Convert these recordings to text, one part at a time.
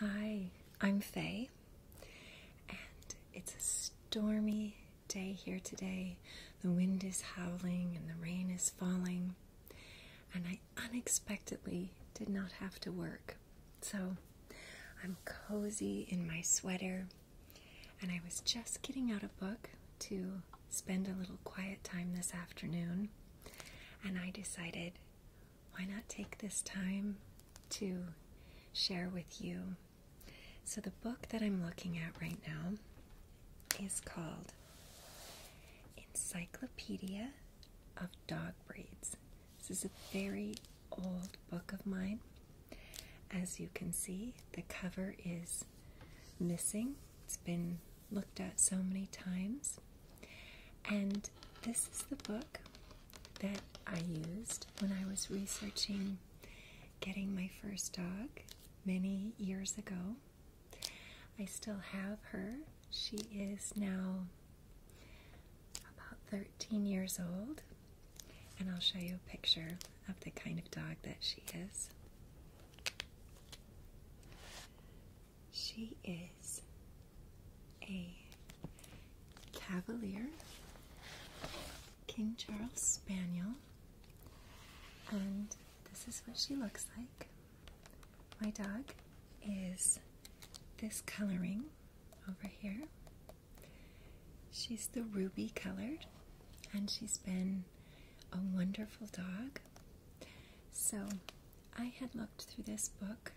Hi, I'm Faye, and it's a stormy day here today. The wind is howling and the rain is falling, and I unexpectedly did not have to work. So I'm cozy in my sweater, and I was just getting out a book to spend a little quiet time this afternoon, and I decided why not take this time to share with you? So, the book that I'm looking at right now is called Encyclopedia of Dog Breeds. This is a very old book of mine. As you can see, the cover is missing. It's been looked at so many times. And this is the book that I used when I was researching getting my first dog many years ago. I still have her. She is now about 13 years old. And I'll show you a picture of the kind of dog that she is. She is a Cavalier, King Charles Spaniel, and this is what she looks like. My dog is this coloring over here. She's the ruby colored, and she's been a wonderful dog. So I had looked through this book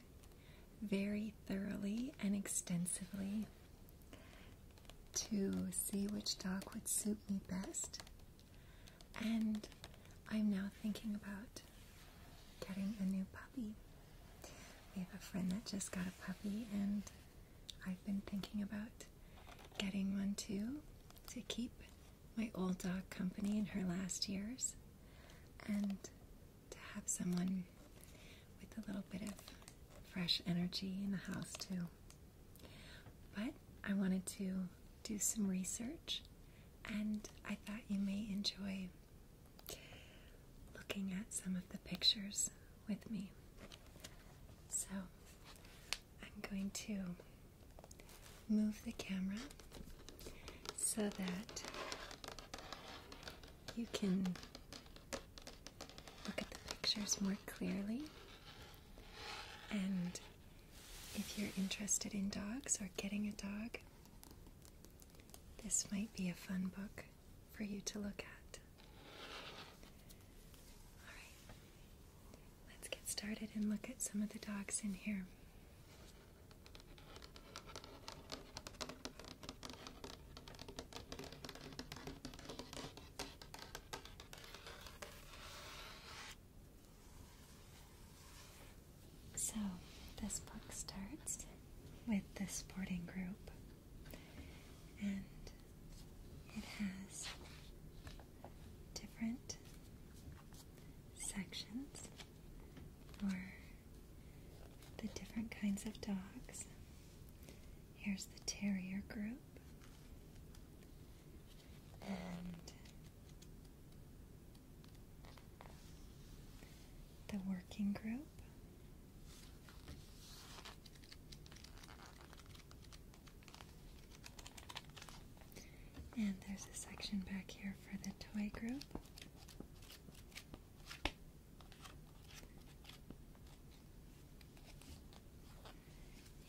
very thoroughly and extensively to see which dog would suit me best. And I'm now thinking about getting a new puppy. We have a friend that just got a puppy, and I've been thinking about getting one too to keep my old dog company in her last years and to have someone with a little bit of fresh energy in the house, too. But I wanted to do some research, and I thought you may enjoy looking at some of the pictures with me. So I'm going to move the camera so that you can look at the pictures more clearly. And if you're interested in dogs or getting a dog, this might be a fun book for you to look at. Alright, let's get started and look at some of the dogs in here. So, this book starts with the sporting group, and it has different sections or the different kinds of dogs. Here's the terrier group. And the working group. And there's a section back here for the toy group.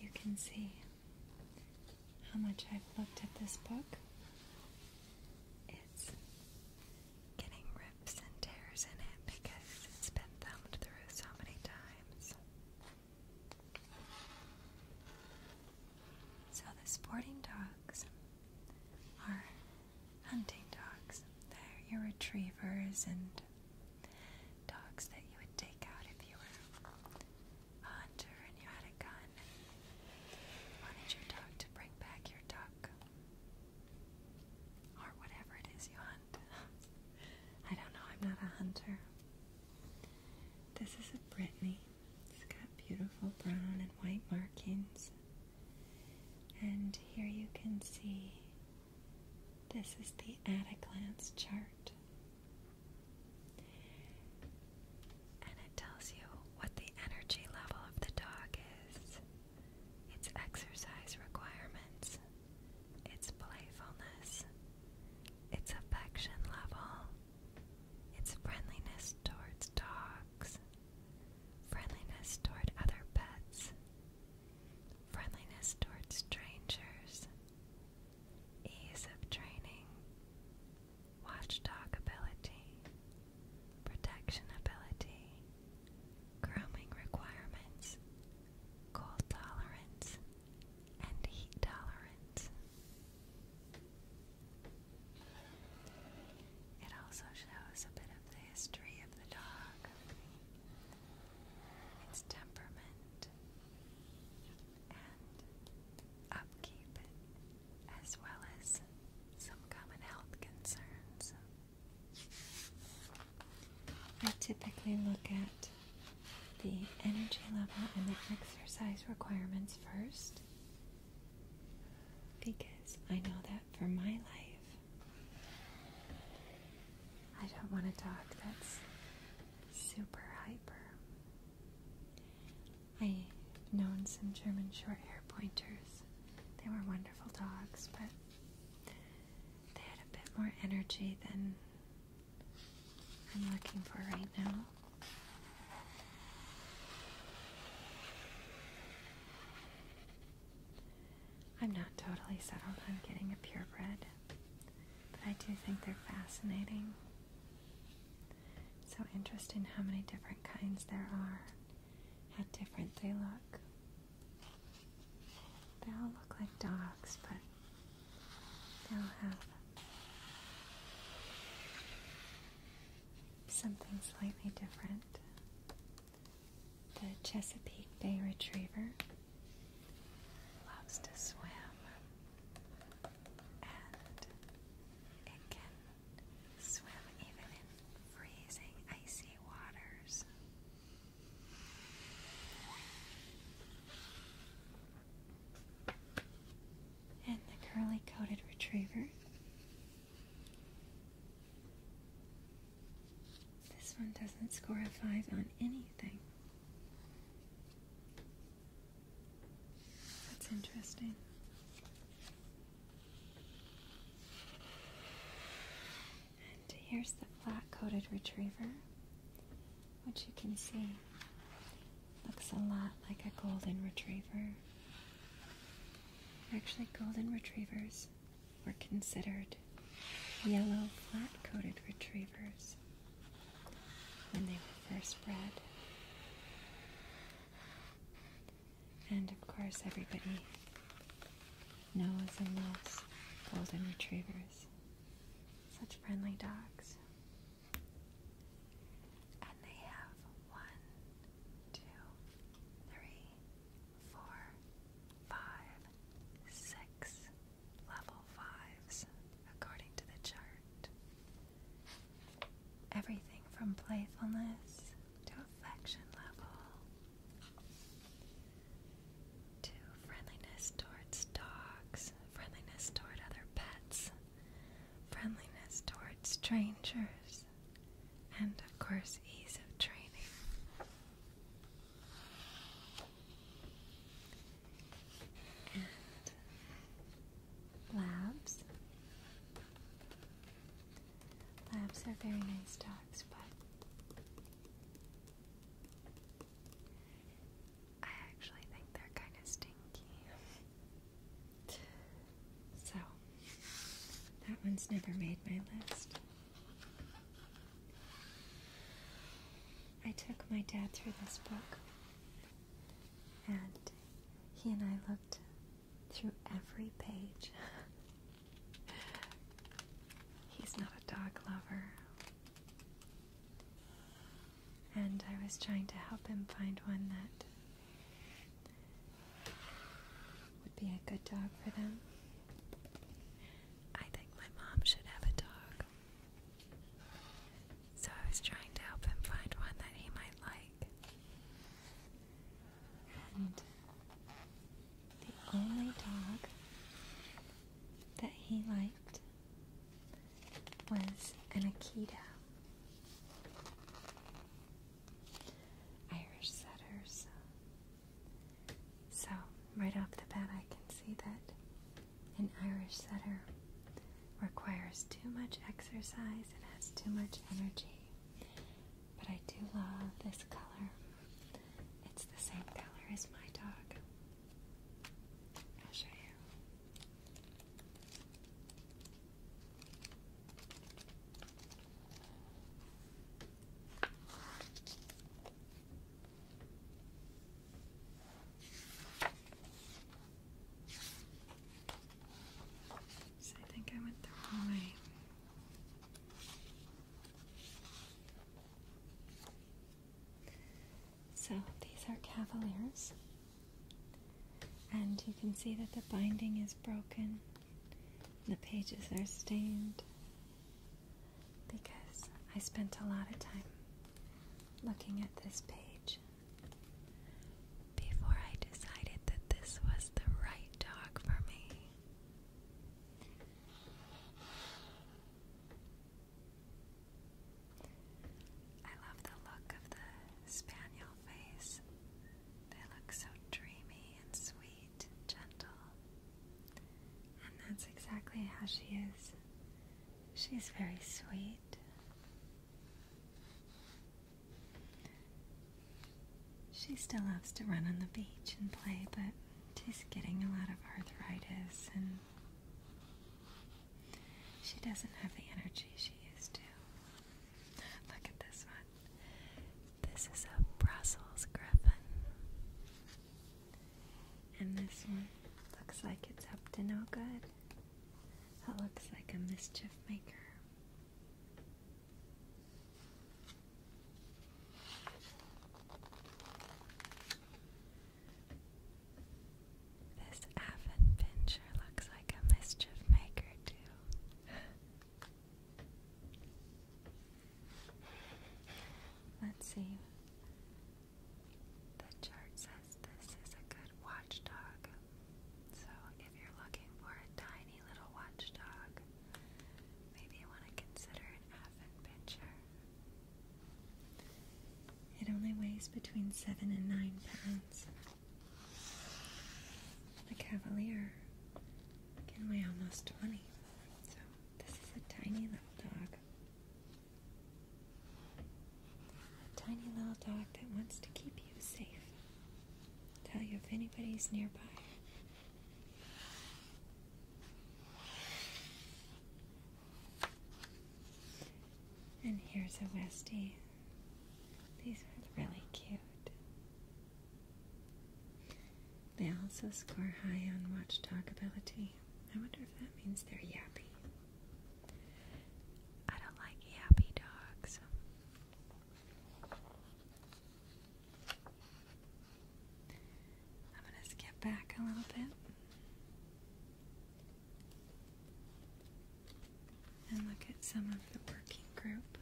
You can see how much I've looked at this book. It's getting rips and tears in it because it's been thumbed through so many times. So the sporting dogs are hunting dogs. They're your retrievers and dogs that you would take out if you were a hunter and you had a gun and wanted your dog to bring back your duck or whatever it is you hunt. I don't know, I'm not a hunter. This is a Brittany. It's got beautiful brown and white markings. And here you can see this is the at a glance chart. And it tells you what the energy level of the dog is, its exercise requirements, its playfulness, its affection level, it's friendliness towards dogs, friendliness toward other pets, friendliness towards strangers, ease of training, watchdog ability, protection ability, grooming requirements, cold tolerance, and heat tolerance. It also shows a bit of the history of the dog, its temperament, and upkeep, as well as some common health concerns. I typically look at the energy level and the exercise requirements first. Because I know that for my life, I don't want a dog that's super hyper. I've known some German short hair pointers. They were wonderful dogs, but they had a bit more energy than I'm looking for right now. I'm not totally settled on getting a purebred, but I do think they're fascinating. so interesting how many different kinds there are, how different they look. They all look like dogs, but they all have Something slightly different. The Chesapeake Bay Retriever loves to swim and it can swim even in freezing, icy waters and the curly coated retriever. This one doesn't score a five on anything. That's interesting. And here's the flat coated retriever, which you can see Looks a lot like a golden retriever. Actually, golden retrievers were considered yellow flat coated retrievers when they were first bred. And of course, everybody knows and loves golden retrievers. Such friendly dogs. And they have one, two, three, four, five, six level fives according to the chart. Everything from playfulness to affection level to friendliness towards dogs, friendliness toward other pets, friendliness toward strangers, and of course, ease of training. labs. Labs are very nice dogs, but I actually think they're kind of stinky. So, that one's never made my list. I took my dad through this book, and he and I looked through every page. He's not a dog lover and I was trying to help him find one that would be a good dog for them. I think my mom should have a dog. So I was trying to help him find one that he might like. And the only dog that he liked was an Akita. Irish setters. So, right off the bat, I can see that an Irish setter requires too much exercise and has too much energy. But I do love this color. It's the same color as my dog. I'll show you. So I think I went the wrong way. So these are cavaliers, and you can see that the binding is broken, the pages are stained because I spent a lot of time looking at this page before I decided that this was the right dog for me. I love the look of the spaniel face. They look so dreamy and sweet and gentle. And that's exactly how she is. She's very sweet. She still loves to run on the beach and play, but she's getting a lot of arthritis and she doesn't have the energy she used to. Look at this one. This is a Brussels griffin. And this one looks like it's up to no good. It looks like a mischief maker. This Avon looks like a mischief maker, too. Let's see. The chart says this is a good watchdog. So, if you're looking for a tiny little watchdog, maybe you want to consider an Avon it only weighs between seven and nine pounds. The Cavalier can weigh almost 20, so this is a tiny little dog. A tiny little dog that wants to keep you safe. tell you if anybody's nearby. And here's a Westie. These are really cute. They also score high on watch ability. I wonder if that means they're yappy. I don't like yappy dogs. I'm going to skip back a little bit and look at some of the working group.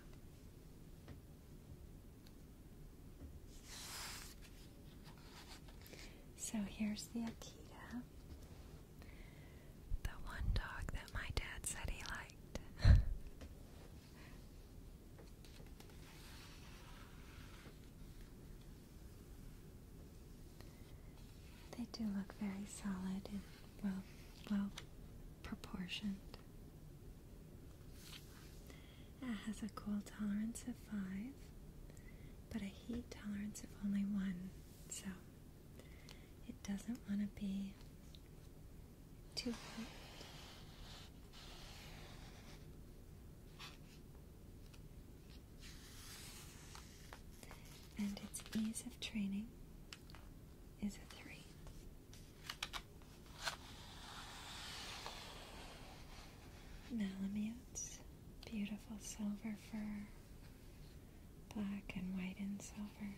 So here's the Akita, the one dog that my dad said he liked. They do look very solid and well proportioned. It has a cold tolerance of five, but a heat tolerance of only one, so it doesn't want to be too hot. And its ease of training is a 3. Malamutes, beautiful silver fur, black and white and silver.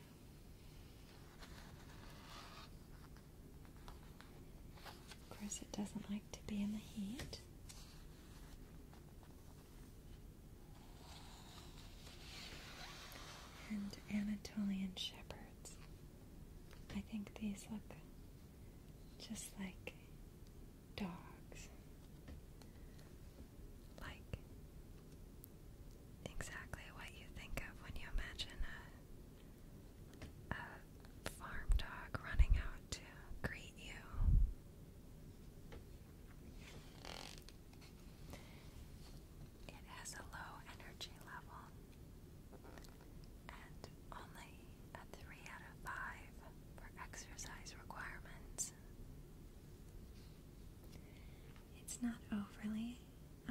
Of course, it doesn't like to be in the heat and Anatolian shepherds. I think these look just like dogs. Like exactly what you think of when you imagine a, farm dog running out to greet you. It has a low energy level and only a 3 out of 5 for exercise requirements. It's not overly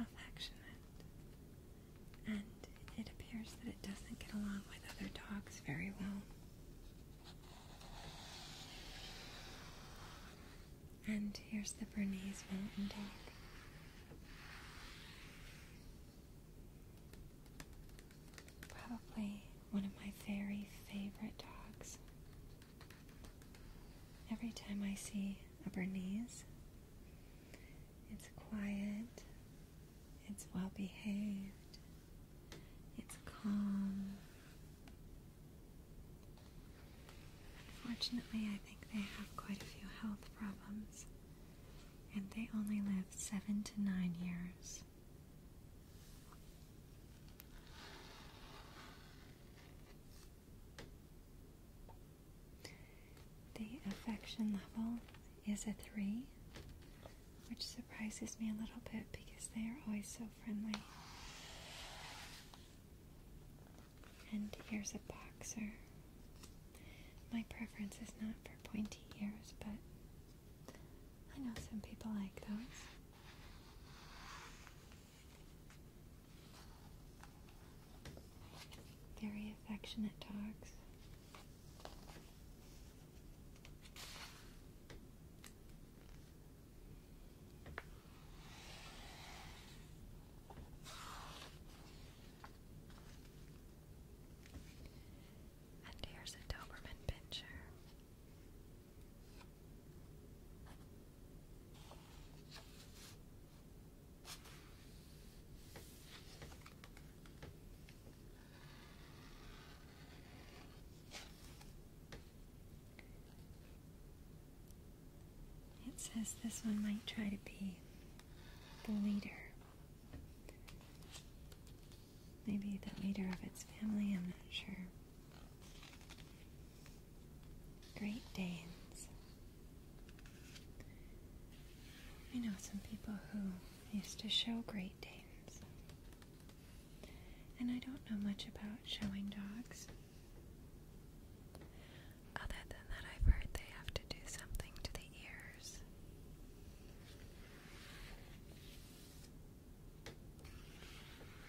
affectionate, and it appears that it doesn't get along with other dogs very well. And here's the Bernese Mountain Dog. Probably one of my very favorite dogs. Every time I see a Bernese, it's quiet, it's well behaved. It's calm. Fortunately, I think they have quite a few health problems, and they only live seven to nine years. The affection level is a three, which surprises me a little bit because they are always so friendly. And here's a boxer. My preference is not for pointy ears, but I know some people like those. Very affectionate dogs. And here's a Doberman picture. It says this one might try to be the leader. Maybe the leader of its family, I'm not sure. Great Danes. I know some people who used to show Great Danes. And I don't know much about showing dogs. Other than that, I've heard they have to do something to the ears.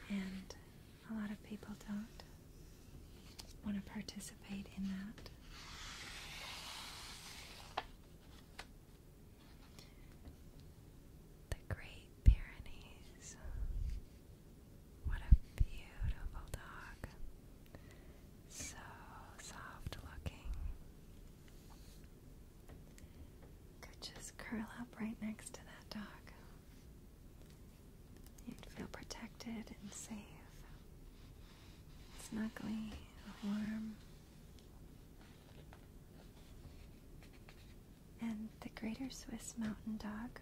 And a lot of people don't want to participate in that. The Great Pyrenees. What a beautiful dog. So soft looking. Could just curl up right next to that dog. You'd feel protected and safe. Snuggly, warm. And the greater Swiss mountain dog,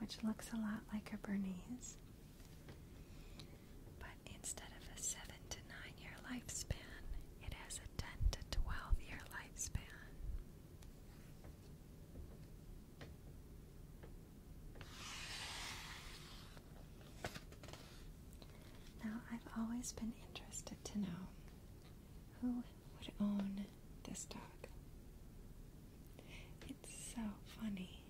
which looks a lot like a Bernese, but instead of a 7 to 9 year lifespan, it has a 10 to 12 year lifespan. Now, I've always been interested to know who would own this dog. It's so funny.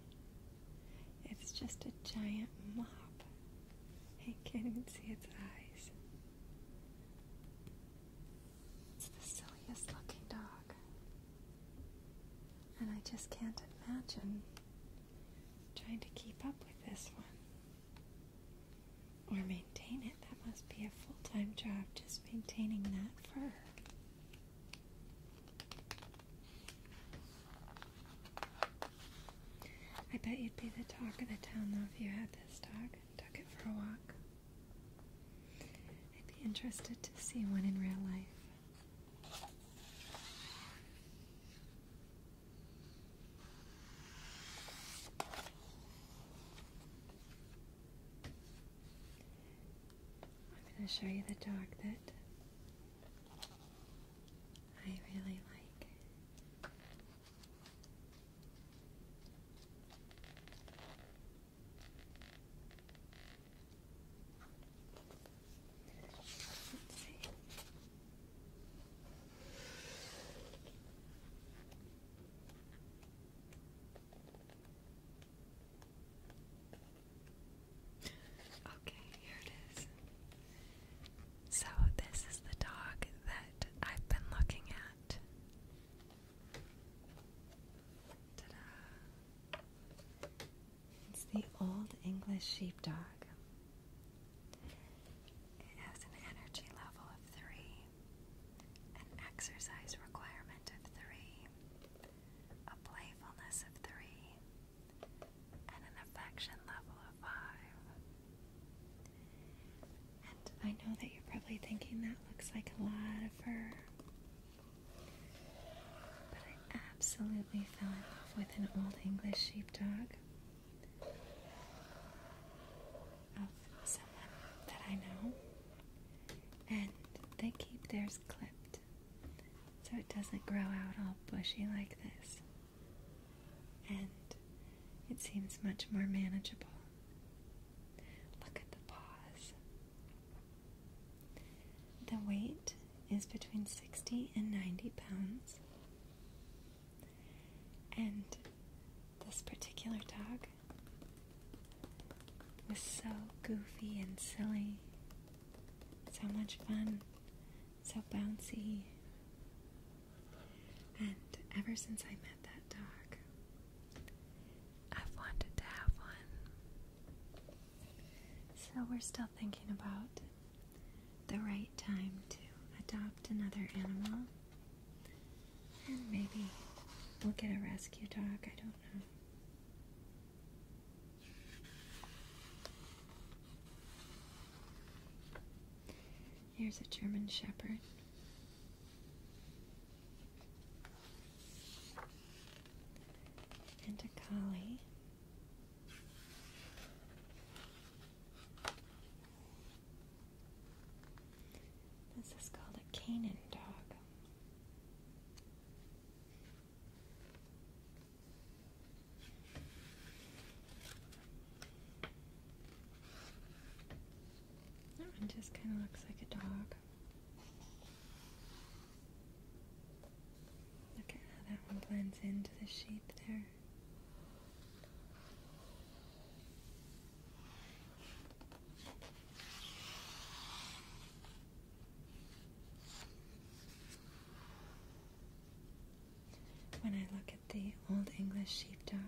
It's just a giant mop. I can't even see its eyes. It's the silliest looking dog. And I just can't imagine trying to keep up with this one or maintain it. That must be a full time job just maintaining that fur. I bet you'd be the talk of the town though if you had this dog and took it for a walk. I'd be interested to see one in real life. I'm going to show you the dog that I really like. Okay, here it is. So, this is the dog that I've been looking at. Ta it's the Old English Sheepdog. It has an energy level of three, an exercise requirement of three, a playfulness of three, and an affection level of five. And I know that you're probably thinking that looks like a lot of fur, but I absolutely we fell in love with an old English sheepdog that I know, and they keep theirs clipped so it doesn't grow out all bushy like this, and it seems much more manageable. Look at the paws. The weight is between 60 and 90 pounds. And this particular dog was so goofy and silly, so much fun, so bouncy. And ever since I met that dog, I've wanted to have one. So we're still thinking about the right time to adopt another animal. And maybe we'll get a rescue dog, I don't know. Here's a German Shepherd. And a collie. This is called a Canaan dog. That one just kind of looks like a dog. Look at how that one blends into the sheep there. When I look at the Old English sheepdog,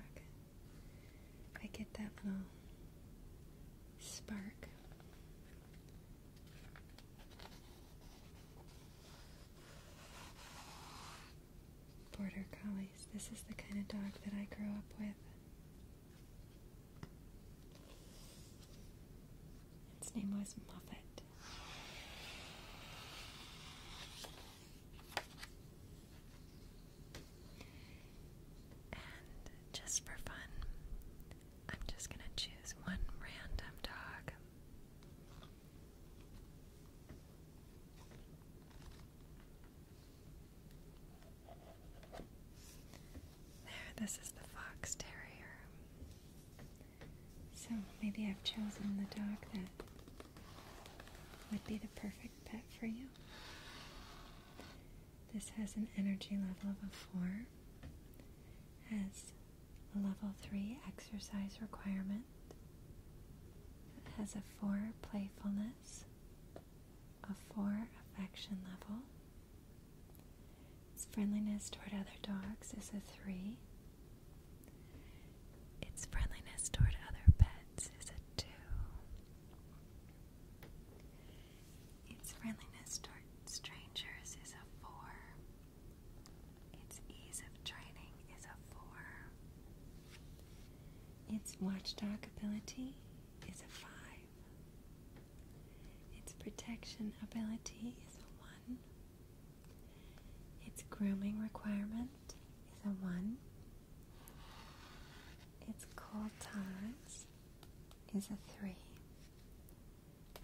I get that little spark. Border Collies. This is the kind of dog that I grew up with. Its name was Muffet. And just for fun, I'm just going to choose one random dog there, this is the fox terrier. So maybe I've chosen the dog that would be the perfect pet for you. This has an energy level of a 4, has level 3 exercise requirement. It has a 4 playfulness, a 4 affection level. Its friendliness toward other dogs is a 3. Its friendliness toward other pets is a 2. Its friendliness toward strangers is a 4. Its ease of training is a 4. Its watchdog ability is a 5. Its protection ability is a 1. Its grooming requirement is a 1. Its cold tolerance is a 3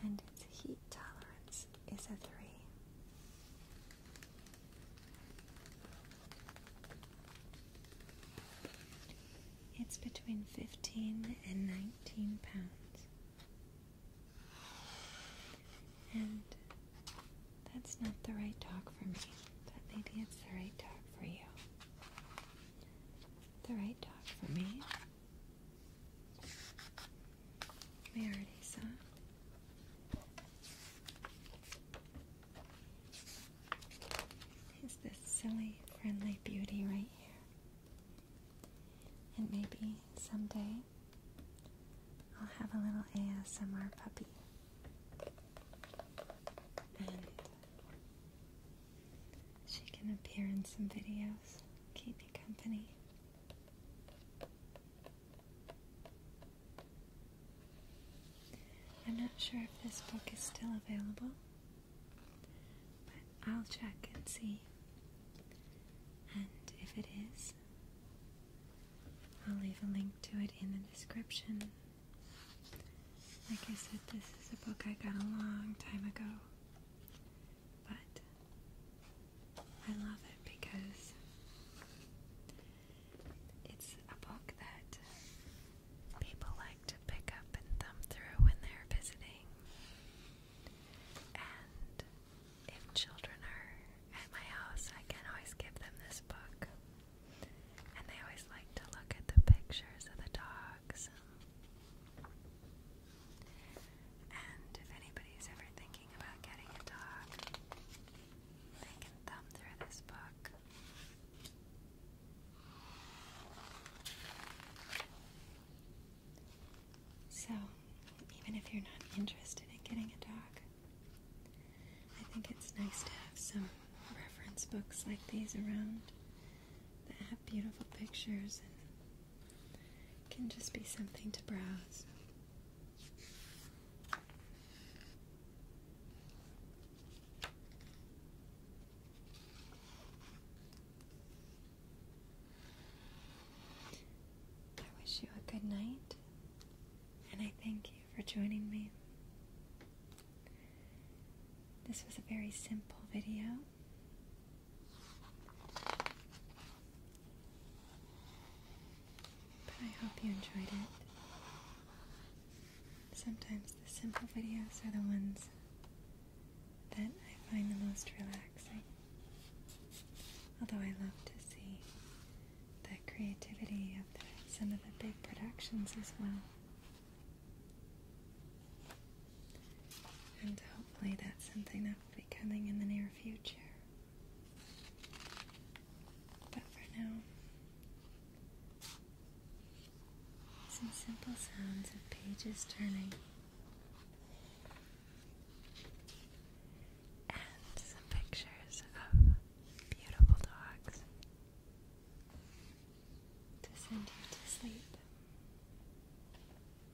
and its heat tolerance is a 3. It's between 15 and 19 pounds. And that's not the right dog for me, but maybe it's the right dog for you. The right dog for me we already saw. Is this silly, friendly beauty right here? And maybe someday I'll have a little ASMR puppy. And she can appear in some videos. Company. I'm not sure if this book is still available, but I'll check and see. And if it is, I'll leave a link to it in the description. Like I said, this is a book I got a long time ago, but I love it because it's a book that people like to pick up and thumb through when they're visiting. And if children are at my house, I can always give them this book. And they always like to look at the pictures of the dogs and if anybody's ever thinking about getting a dog, they can thumb through this book. So, even if you're not interested in getting a dog, I think it's nice to have some reference books like these around beautiful pictures and can just be something to browse. I wish you a good night, and I thank you for joining me. This was a very simple video, but I hope you enjoyed it. Sometimes the simple videos are the ones that I find the most relaxing. Although I love to see the creativity of some of the big productions as well. And hopefully that's something that will be coming in the near future. But for now, some simple sounds of pages turning. And some pictures of beautiful dogs to send you to sleep.